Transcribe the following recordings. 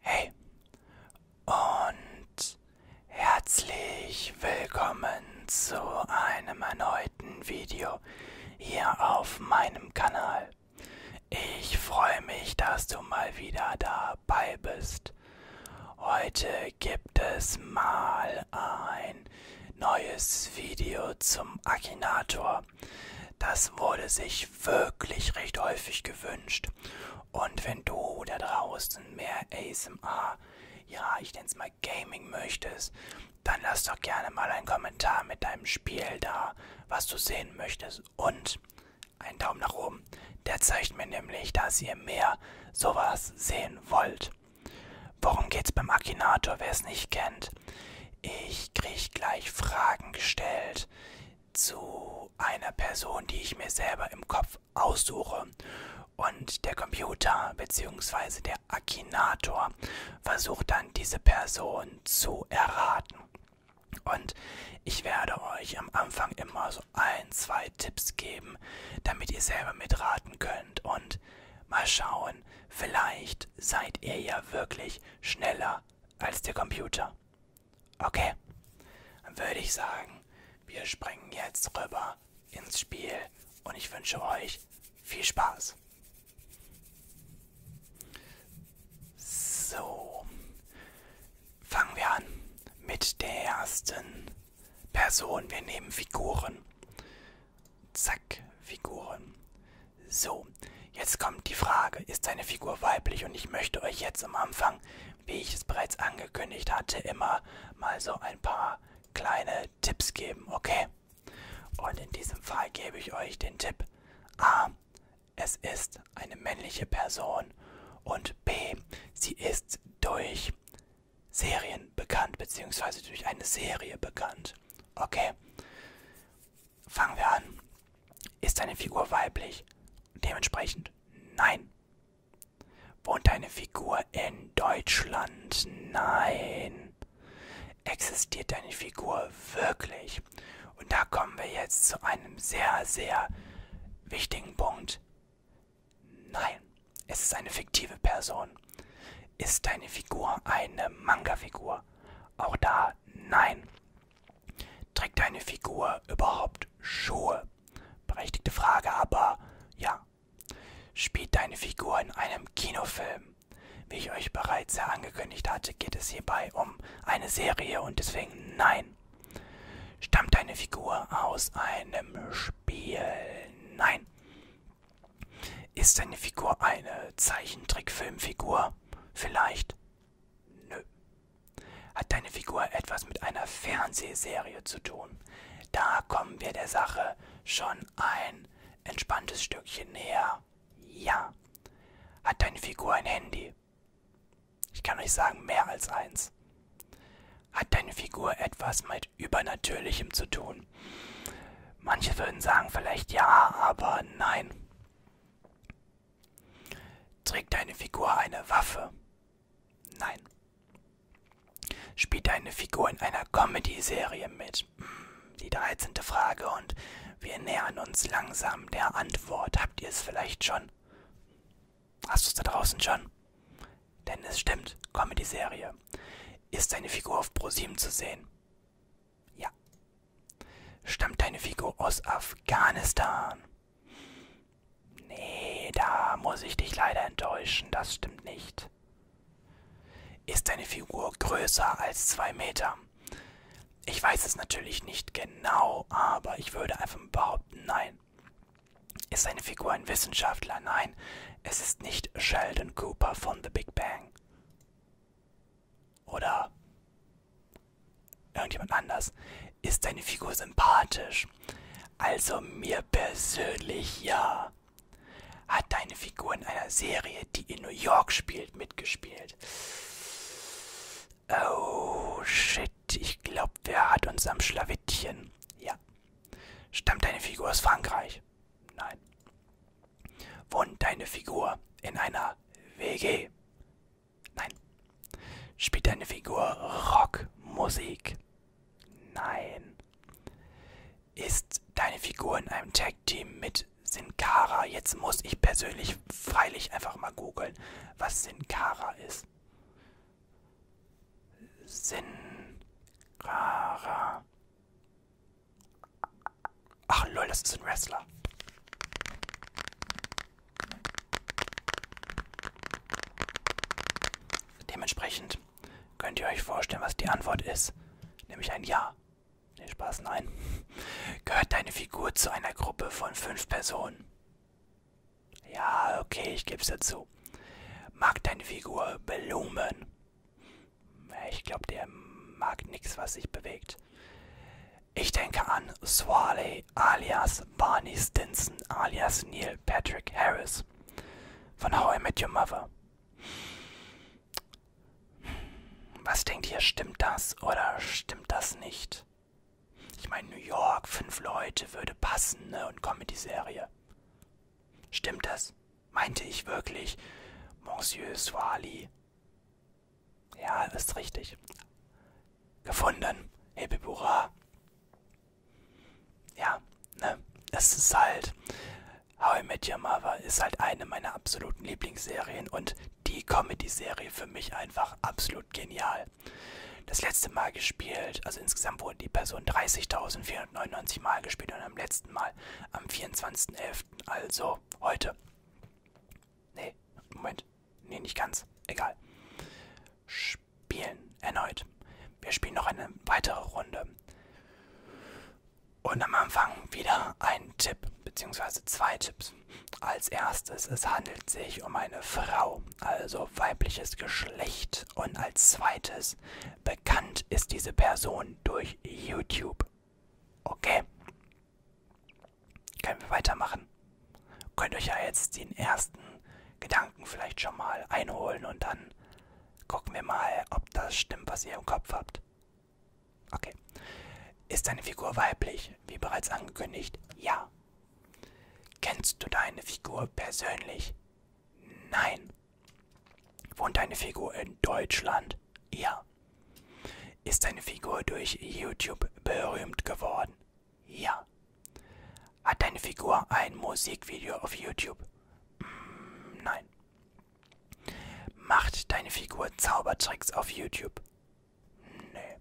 Hey und herzlich willkommen zu einem erneuten Video hier auf meinem Kanal. Ich freue mich, dass du mal wieder dabei bist. Heute gibt es mal ein neues Video zum Akinator. Das wurde sich sich wirklich recht häufig gewünscht. Und wenn du da draußen mehr ASMR, ja, ich nenne es mal Gaming möchtest, dann lass doch gerne mal einen Kommentar mit deinem Spiel da, was du sehen möchtest. Und einen Daumen nach oben. Der zeigt mir nämlich, dass ihr mehr sowas sehen wollt. Worum geht's beim Akinator, wer es nicht kennt? Ich krieg gleich Fragen gestellt zu zu einer Person, die ich mir selber im Kopf aussuche. Und der Computer bzw. der Akinator versucht dann diese Person zu erraten. Und ich werde euch am Anfang immer so ein, zwei Tipps geben, damit ihr selber mitraten könnt. Und mal schauen, vielleicht seid ihr ja wirklich schneller als der Computer. Okay, dann würde ich sagen, wir springen jetzt rüber ins Spiel und ich wünsche euch viel Spaß. So, fangen wir an mit der ersten Person. Wir nehmen Figuren. Zack, Figuren. So, jetzt kommt die Frage, ist deine Figur weiblich? Und ich möchte euch jetzt am Anfang wie ich es bereits angekündigt hatte, immer mal so ein paar kleine Tipps geben, okay? Und in diesem Fall gebe ich euch den Tipp A. Es ist eine männliche Person und B. Sie ist durch Serien bekannt, beziehungsweise durch eine Serie bekannt. Okay, fangen wir an. Ist eine Figur weiblich? Dementsprechend nein. Wohnt eine Figur in Deutschland? Nein. Existiert eine Figur wirklich? Und da kommen wir jetzt zu einem sehr, sehr wichtigen Punkt. Nein, es ist eine fiktive Person. Ist deine Figur eine Manga-Figur? Auch da nein. Trägt deine Figur überhaupt Schuhe? Berechtigte Frage, aber ja. Spielt deine Figur in einem Kinofilm? Wie ich euch bereits ja angekündigt hatte, geht es hierbei um eine Serie und deswegen nein. Stammt deine Figur aus einem Spiel? Nein. Ist deine Figur eine Zeichentrickfilmfigur? Vielleicht. Nö. Hat deine Figur etwas mit einer Fernsehserie zu tun? Da kommen wir der Sache schon ein entspanntes Stückchen näher. Ja. Hat deine Figur ein Handy? Ich kann euch sagen, mehr als eins. Hat deine Figur etwas mit Übernatürlichem zu tun? Manche würden sagen vielleicht ja, aber nein. Trägt deine Figur eine Waffe? Nein. Spielt deine Figur in einer Comedy-Serie mit? Hm, die 13. Frage und wir nähern uns langsam der Antwort. Habt ihr es vielleicht schon? Hast du es da draußen schon? Denn es stimmt, Comedy-Serie. Ist deine Figur auf ProSieben zu sehen? Ja. Stammt deine Figur aus Afghanistan? Nee, da muss ich dich leider enttäuschen, das stimmt nicht. Ist deine Figur größer als zwei Meter? Ich weiß es natürlich nicht genau, aber ich würde einfach behaupten, nein. Ist deine Figur ein Wissenschaftler? Nein, es ist nicht Sheldon Cooper von The Big Bang. Oder irgendjemand anders, ist deine Figur sympathisch. Also mir persönlich ja. Hat deine Figur in einer Serie, die in New York spielt, mitgespielt? Oh, shit. Ich glaube, der hat uns am Schlawittchen. Ja. Stammt deine Figur aus Frankreich? Nein. Wohnt deine Figur in einer WG? Nein. Spielt deine Figur Rockmusik? Nein. Ist deine Figur in einem Tag-Team mit Sin Cara? Jetzt muss ich persönlich freilich einfach mal googeln, was Sin Cara ist. Sin Cara. Ach lol, das ist ein Wrestler. Dementsprechend könnt ihr euch vorstellen, was die Antwort ist. Nämlich ein Ja. Nee, Spaß, nein. Gehört deine Figur zu einer Gruppe von fünf Personen? Ja, okay, ich geb's dazu. Mag deine Figur Belumen? Ich glaube, der mag nichts, was sich bewegt. Ich denke an Swaley alias Barney Stinson alias Neil Patrick Harris von How I Met Your Mother. Was denkt ihr, stimmt das oder stimmt das nicht? Ich meine, New York, fünf Leute würde passen, ne? Und Comedy-Serie. Stimmt das? Meinte ich wirklich, Monsieur Swali? Ja, ist richtig gefunden. Hebebura. Ja, ne? Es ist halt. How I Met Your Mother ist halt eine meiner absoluten Lieblingsserien und die Comedy-Serie für mich einfach absolut genial. Das letzte Mal gespielt, also insgesamt wurde die Person 30.499 Mal gespielt und am letzten Mal am 24.11., also heute. Nee, Moment, nee, nicht ganz, egal spielen. Erneut. Wir spielen noch eine weitere Runde. Und am Anfang wieder ein Tipp, beziehungsweise zwei Tipps. Als erstes, es handelt sich um eine Frau, also weibliches Geschlecht. Und als zweites, bekannt ist diese Person durch YouTube. Okay? können wir weitermachen. Könnt euch ja jetzt den ersten Gedanken vielleicht schon mal einholen und dann gucken wir mal, ob das stimmt, was ihr im Kopf habt. Okay. Ist deine Figur weiblich, wie bereits angekündigt? Ja. Kennst du deine Figur persönlich? Nein. Wohnt deine Figur in Deutschland? Ja. Ist deine Figur durch YouTube berühmt geworden? Ja. Hat deine Figur ein Musikvideo auf YouTube? Mm, nein. Macht deine Figur Zaubertricks auf YouTube? Nee.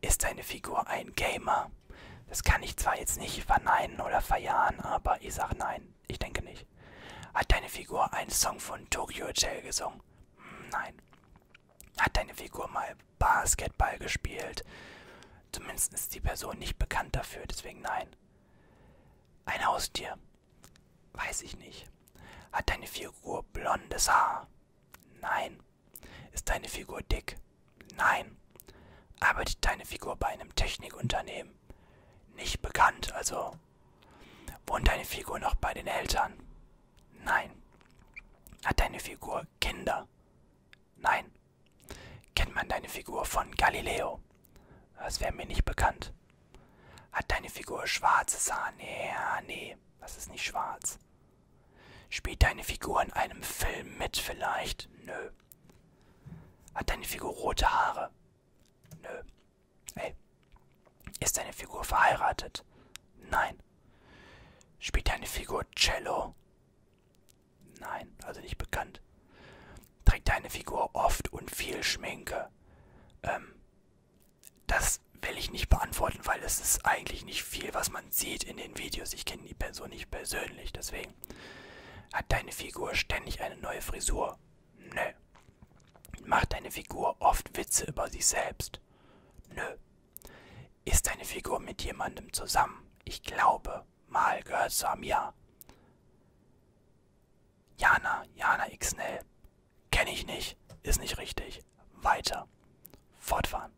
Ist deine Figur ein Gamer? Das kann ich zwar jetzt nicht verneinen oder verjahren, aber ich sag nein. Ich denke nicht. Hat deine Figur einen Song von Tokyo Hotel gesungen? Mm, nein. Hat deine Figur mal mal Basketball gespielt. Zumindest ist die Person nicht bekannt dafür, deswegen nein. Ein Haustier. Weiß ich nicht. Hat deine Figur blondes Haar? Nein. Ist deine Figur dick? Nein. Arbeitet deine Figur bei einem Technikunternehmen? Nicht bekannt, also. Wohnt deine Figur noch bei den Eltern? Nein. Hat deine Figur Figur Kinder? Nein. Kennt man deine Figur von Galileo? Das wäre mir nicht bekannt. Hat deine Figur schwarzes Haar? Nee, nee, das ist nicht schwarz. Spielt deine Figur in einem Film mit vielleicht? Nö. Hat deine Figur rote Haare? Nö. Ey. Ist deine Figur verheiratet? Nein. Spielt deine Figur Cello? Nein, also nicht bekannt. Trägt deine Figur oft und viel Schminke? Ähm, das will ich nicht beantworten, weil es ist eigentlich nicht viel, was man sieht in den Videos. Ich kenne die Person nicht persönlich, deswegen. Hat deine Figur ständig eine neue Frisur? Nö. Macht deine Figur oft Witze über sich selbst? Nö. Ist eine Figur mit jemandem zusammen? Ich glaube, mal gehört zu Amir. Jana, Jana Xnell. Kenne ich nicht, ist nicht richtig. Weiter. Fortfahren.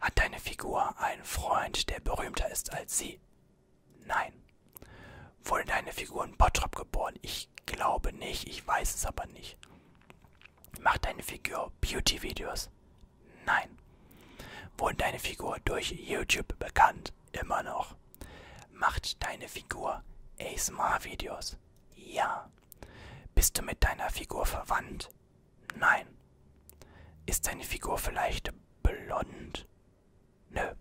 Hat deine Figur einen Freund, der berühmter ist als sie? Nein. Wurde deine Figur in Bottrop geboren? Ich glaube nicht, ich weiß es aber nicht. Macht deine Figur Beauty-Videos? Nein. Wurde deine Figur durch YouTube bekannt? Immer noch. Macht deine Figur ASMR-Videos? Ja. Bist du mit deiner Figur verwandt? Nein. Ist deine Figur vielleicht blond? Nö.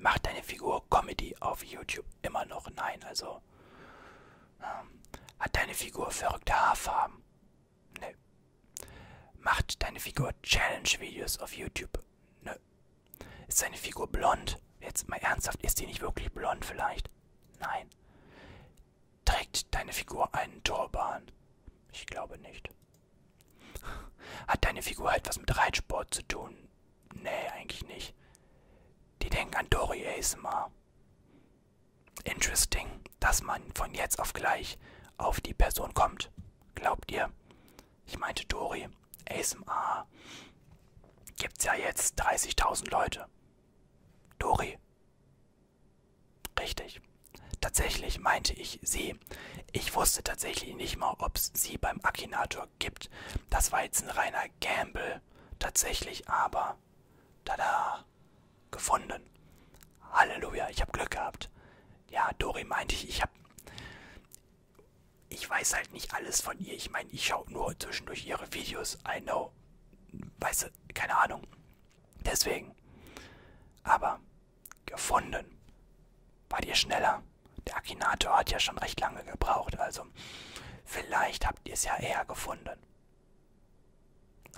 Macht deine Figur Comedy auf YouTube? Immer noch nein. Also hat deine Figur verrückte Haarfarben? Nö. Macht deine Figur Challenge-Videos auf YouTube? Nö. Ist deine Figur blond? Jetzt mal ernsthaft, ist die nicht wirklich blond vielleicht? Nein. Trägt deine Figur einen Turban? Ich glaube nicht. Hat deine Figur etwas mit Reitsport zu tun? Nee, eigentlich nicht. Die denken an Dory ASMR. Interesting, dass man von jetzt auf gleich auf die Person kommt. Glaubt ihr? Ich meinte Dori, ASMR. Gibt's ja jetzt 30.000 Leute. Dori. Richtig. Tatsächlich meinte ich sie. Ich wusste tatsächlich nicht mal, ob es sie beim Akinator gibt. Das war jetzt ein reiner Gamble. Tatsächlich aber Tada! Gefunden. Halleluja, ich habe Glück gehabt. Ja, Dori meinte ich, ich habe... Ich weiß halt nicht alles von ihr. Ich meine, ich schaue nur zwischendurch ihre Videos. I know. Weißt du, keine Ahnung. Deswegen. Aber gefunden. War dir schneller? Der Akinator hat ja schon recht lange gebraucht, also vielleicht habt ihr es ja eher gefunden.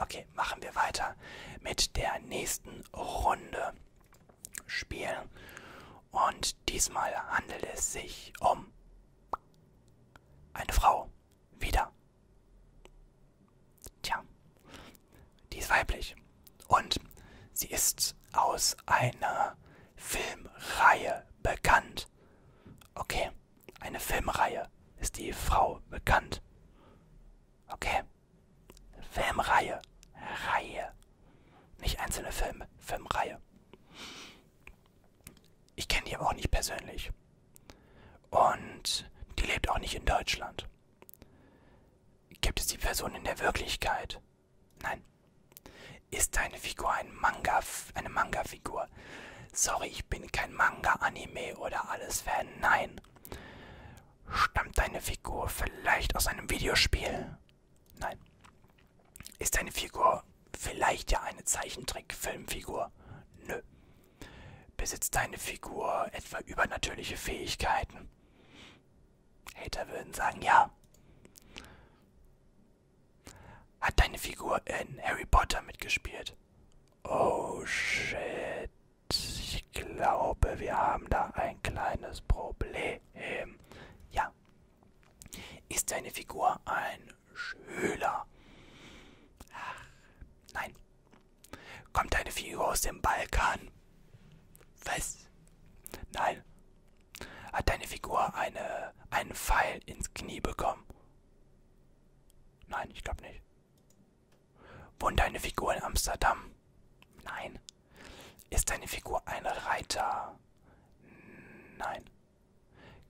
Okay, machen wir weiter mit der nächsten Runde spielen. Und diesmal handelt es sich um eine Frau. Wieder. Tja, die ist weiblich. Und sie ist aus einer Filmreihe bekannt. Okay, eine Filmreihe. Ist die Frau bekannt? Okay. Filmreihe. Reihe. Nicht einzelne Filme. Filmreihe. Ich kenne die aber auch nicht persönlich. Und die lebt auch nicht in Deutschland. Gibt es die Person in der Wirklichkeit? Nein. Ist deine Figur ein Manga, eine Manga-Figur? Manga. Sorry, ich bin kein Manga-Anime oder alles Fan, nein. Stammt deine Figur vielleicht aus einem Videospiel? Nein. Ist deine Figur vielleicht ja eine Zeichentrick-Filmfigur? Nö. Besitzt deine Figur etwa übernatürliche Fähigkeiten? Hater würden sagen ja. Hat deine Figur in Harry Potter mitgespielt? Oh shit. Ich glaube, wir haben da ein kleines Problem. Ja. Ist deine Figur ein Schüler? Ach, nein. Kommt deine Figur aus dem Balkan? Was? Nein. Hat deine Figur eine, einen Pfeil ins Knie bekommen? Nein, ich glaube nicht. Wohnt deine Figur in Amsterdam? Nein. Ist deine Figur ein Reiter? Nein.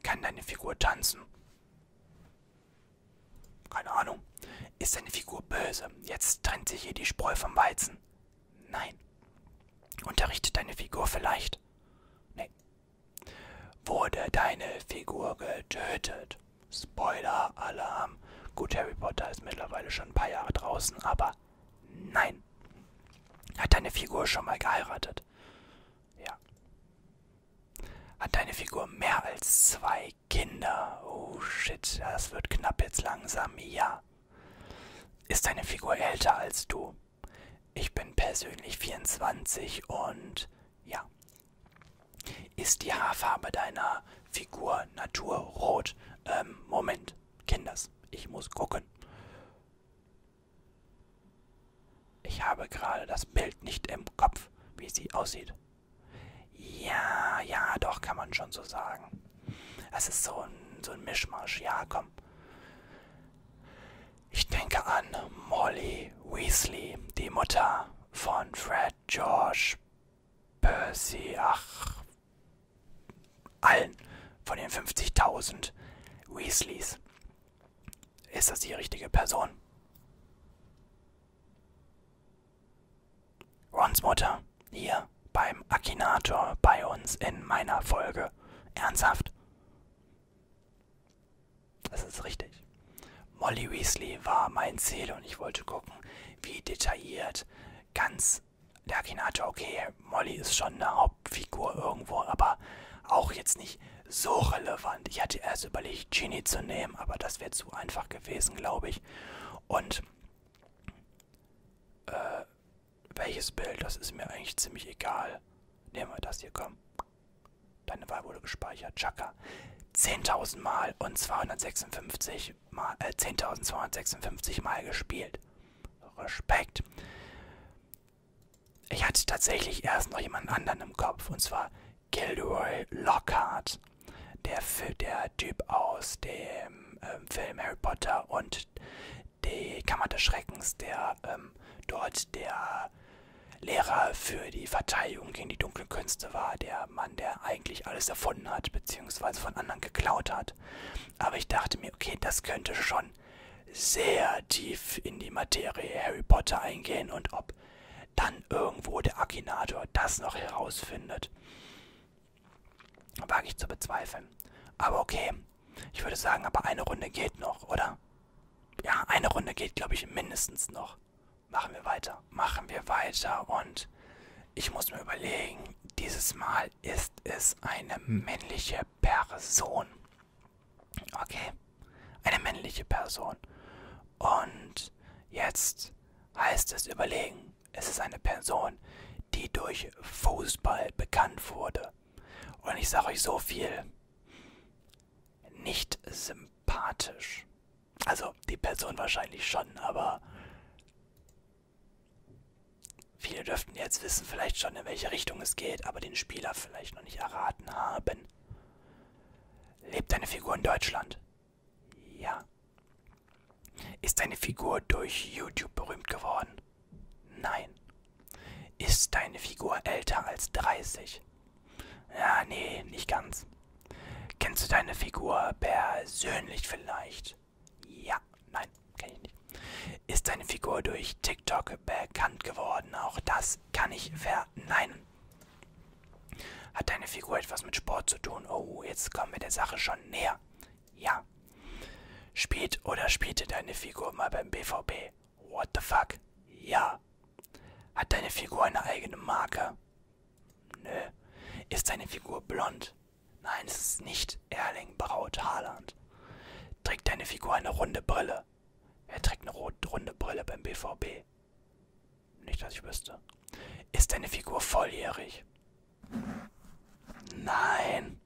Kann deine Figur tanzen? Keine Ahnung. Ist deine Figur böse? Jetzt trennt sich hier die Spreu vom Weizen. Nein. Unterrichtet deine Figur vielleicht? Nee, Wurde deine Figur getötet? Spoiler-Alarm. Gut, Harry Potter ist mittlerweile schon ein paar Jahre draußen, aber nein. Hat deine Figur schon mal geheiratet? Ja. Hat deine Figur mehr als zwei Kinder? Oh shit, das wird knapp jetzt langsam. Ja. Ist deine Figur älter als du? Ich bin persönlich 24 und ja, ist die Haarfarbe deiner Figur naturrot? Ähm, Moment, Kinders, ich muss gucken. Ich habe gerade das Bild nicht im Kopf, wie sie aussieht. Ja, ja, doch, kann man schon so sagen. Es ist so ein, so ein Mischmasch, ja, komm. Ich denke an Molly Weasley, die Mutter von Fred, George, Percy, ach, allen von den 50.000 Weasleys. Ist das die richtige Person? Rons Mutter, hier beim Akinator bei uns in meiner Folge. Ernsthaft? Das ist richtig. Molly Weasley war mein Ziel und ich wollte gucken, wie detailliert ganz der Akinator, okay, Molly ist schon eine Hauptfigur irgendwo, aber auch jetzt nicht so relevant. Ich hatte erst überlegt, Genie zu nehmen, aber das wäre zu einfach gewesen, glaube ich. Und äh, welches Bild, das ist mir eigentlich ziemlich egal. Nehmen wir das hier, komm. Deine Wahl wurde gespeichert. Chaka. 10.000 Mal und 256 Mal, äh, 10.256 Mal gespielt. Respekt. Ich hatte tatsächlich erst noch jemanden anderen im Kopf, und zwar Gilroy Lockhart. Der, der Typ aus dem ähm, Film Harry Potter und die Kammer des Schreckens, der ähm, dort der Lehrer für die Verteidigung gegen die dunklen Künste war, der Mann, der eigentlich alles erfunden hat, beziehungsweise von anderen geklaut hat. Aber ich dachte mir, okay, das könnte schon sehr tief in die Materie Harry Potter eingehen und ob dann irgendwo der Akinator das noch herausfindet, wage ich zu bezweifeln. Aber okay, ich würde sagen, aber eine Runde geht noch, oder? Ja, eine Runde geht, glaube ich, mindestens noch machen wir weiter. Machen wir weiter und ich muss mir überlegen, dieses Mal ist es eine männliche Person. Okay, eine männliche Person. Und jetzt heißt es überlegen, es ist eine Person, die durch Fußball bekannt wurde. Und ich sage euch so viel, nicht sympathisch. Also die Person wahrscheinlich schon, aber viele dürften jetzt wissen vielleicht schon, in welche Richtung es geht, aber den Spieler vielleicht noch nicht erraten haben. Lebt deine Figur in Deutschland? Ja. Ist deine Figur durch YouTube berühmt geworden? Nein. Ist deine Figur älter als 30? Ja, nee, nicht ganz. Kennst du deine Figur persönlich vielleicht? Ja, nein, kenne ich nicht. Ist deine Figur durch TikTok bekannt geworden? Auch das kann ich verneinen. Hat deine Figur etwas mit Sport zu tun? Oh, jetzt kommen wir der Sache schon näher. Ja. Spielt oder spielte deine Figur mal beim BVB? What the fuck? Ja. Hat deine Figur eine eigene Marke? Nö. Ist deine Figur blond? Nein, es ist nicht Erling Braut Haaland. Trägt deine Figur eine runde Brille? Er trägt eine runde Brille beim BVB. Nicht, dass ich wüsste. Ist deine Figur volljährig? Nein.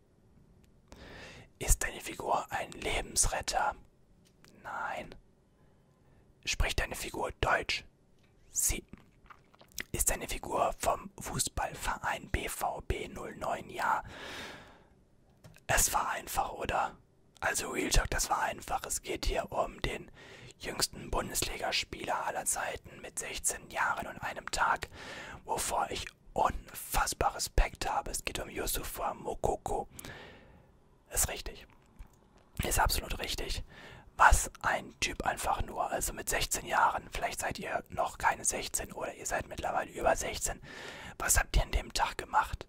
Ist deine Figur ein Lebensretter? Nein. Spricht deine Figur Deutsch? Sie. Ist deine Figur vom Fußballverein BVB 09? Ja. Es war einfach, oder? Also Real Talk, das war einfach. Es geht hier um den jüngsten Bundesligaspieler aller Zeiten mit 16 Jahren und einem Tag, wovor ich unfassbar Respekt habe. Es geht um Yusufa Mokoko. Ist richtig. Ist absolut richtig. Was ein Typ einfach nur, also mit 16 Jahren, vielleicht seid ihr noch keine 16 oder ihr seid mittlerweile über 16. Was habt ihr an dem Tag gemacht?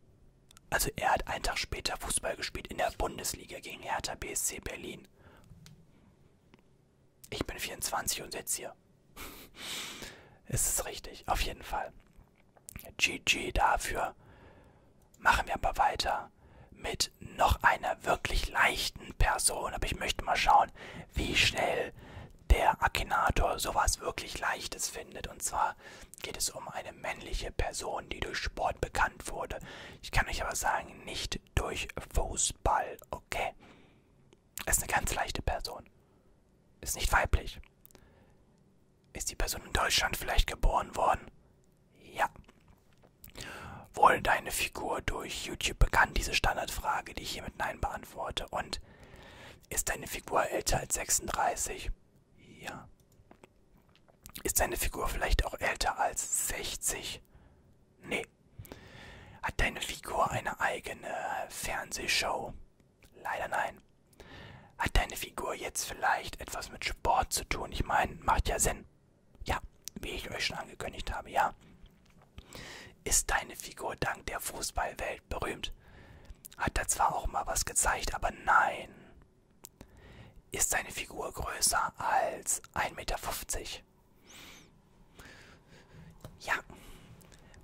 Also er hat einen Tag später Fußball gespielt in der Bundesliga gegen Hertha BSC Berlin. Ich bin 24 und sitze hier. es ist richtig, auf jeden Fall. GG dafür. Machen wir aber weiter mit noch einer wirklich leichten Person. Aber ich möchte mal schauen, wie schnell der Akinator sowas wirklich Leichtes findet. Und zwar geht es um eine männliche Person, die durch Sport bekannt wurde. Ich kann euch aber sagen, nicht durch Fußball, okay? Ist eine ganz leichte Person. Ist nicht weiblich. Ist die Person in Deutschland vielleicht geboren worden? Ja. Wurde deine Figur durch YouTube bekannt? Diese Standardfrage, die ich hier mit Nein beantworte. Und ist deine Figur älter als 36? Ja. Ist deine Figur vielleicht auch älter als 60? Nee. Hat deine Figur eine eigene Fernsehshow? Leider nein. Hat deine Figur jetzt vielleicht etwas mit Sport zu tun? Ich meine, macht ja Sinn. Ja, wie ich euch schon angekündigt habe, ja. Ist deine Figur dank der Fußballwelt berühmt? Hat da zwar auch mal was gezeigt, aber nein. Ist deine Figur größer als 1,50 Meter? Ja.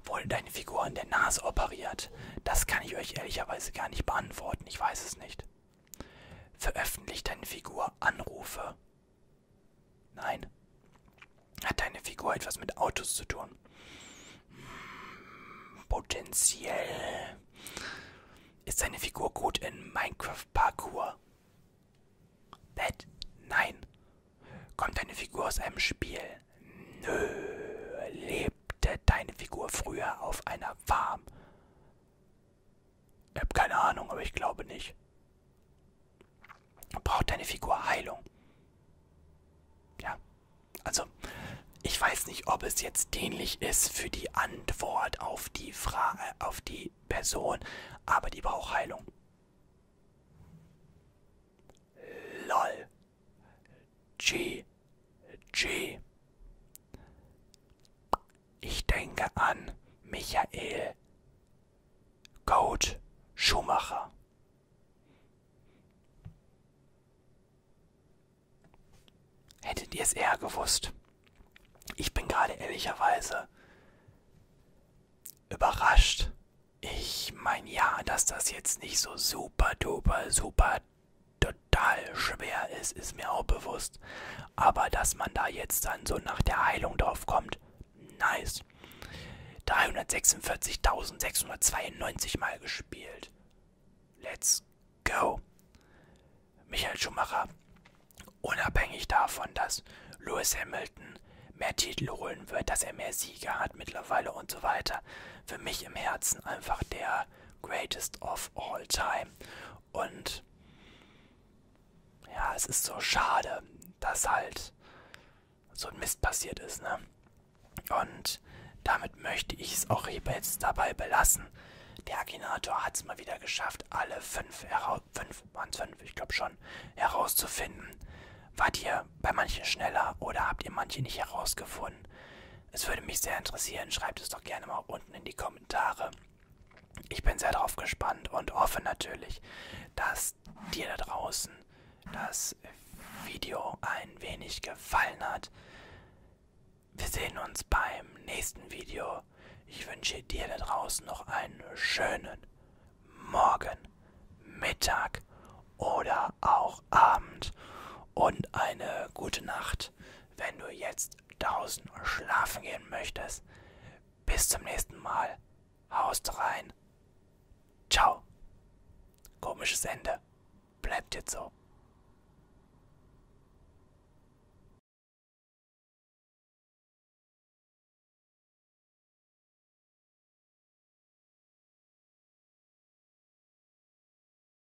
Wurde deine Figur an der Nase operiert? Das kann ich euch ehrlicherweise gar nicht beantworten. Ich weiß es nicht. Veröffentlicht deine Figur Anrufe? Nein. Hat deine Figur etwas mit Autos zu tun? Hm, potenziell. Ist deine Figur gut in Minecraft Parkour? That? Nein. Kommt deine Figur aus einem Spiel? Nö. Lebt lebte deine Figur früher auf einer Farm? Ich habe keine Ahnung, aber ich glaube nicht. Braucht deine Figur Heilung? Ja, also ich weiß nicht, ob es jetzt dienlich ist für die Antwort auf die Frage, auf die Person, aber die braucht Heilung. LOL. G. G. Ich denke an Michael Goat Schumacher. Hättet ihr es eher gewusst? Ich bin gerade ehrlicherweise überrascht. Ich meine ja, dass das jetzt nicht so super duper, super total schwer ist, ist mir auch bewusst. Aber dass man da jetzt dann so nach der Heilung drauf kommt, nice. 346.692 Mal gespielt. Let's go. Michael Schumacher. Unabhängig davon, dass Lewis Hamilton mehr Titel holen wird, dass er mehr Siege hat mittlerweile und so weiter. Für mich im Herzen einfach der der Greatest of All Time. Und ja, es ist so schade, dass halt so ein Mist passiert ist, ne? Und damit möchte ich es auch jetzt dabei belassen. Der Akinator hat es mal wieder geschafft, alle fünf, fünf, waren fünf, ich glaube schon, herauszufinden. Wart ihr bei manchen schneller oder habt ihr manche nicht herausgefunden? Es würde mich sehr interessieren, schreibt es doch gerne mal unten in die Kommentare. Ich bin sehr darauf gespannt und hoffe natürlich, dass dir da draußen das Video ein wenig gefallen hat. Wir sehen uns beim nächsten Video. Ich wünsche dir da draußen noch einen schönen Morgen, Mittag oder auch Abend und eine gute Nacht wenn du jetzt draußen schlafen gehen möchtest. Bis zum nächsten Mal. Haust rein. Ciao. Komisches Ende. Bleibt jetzt so.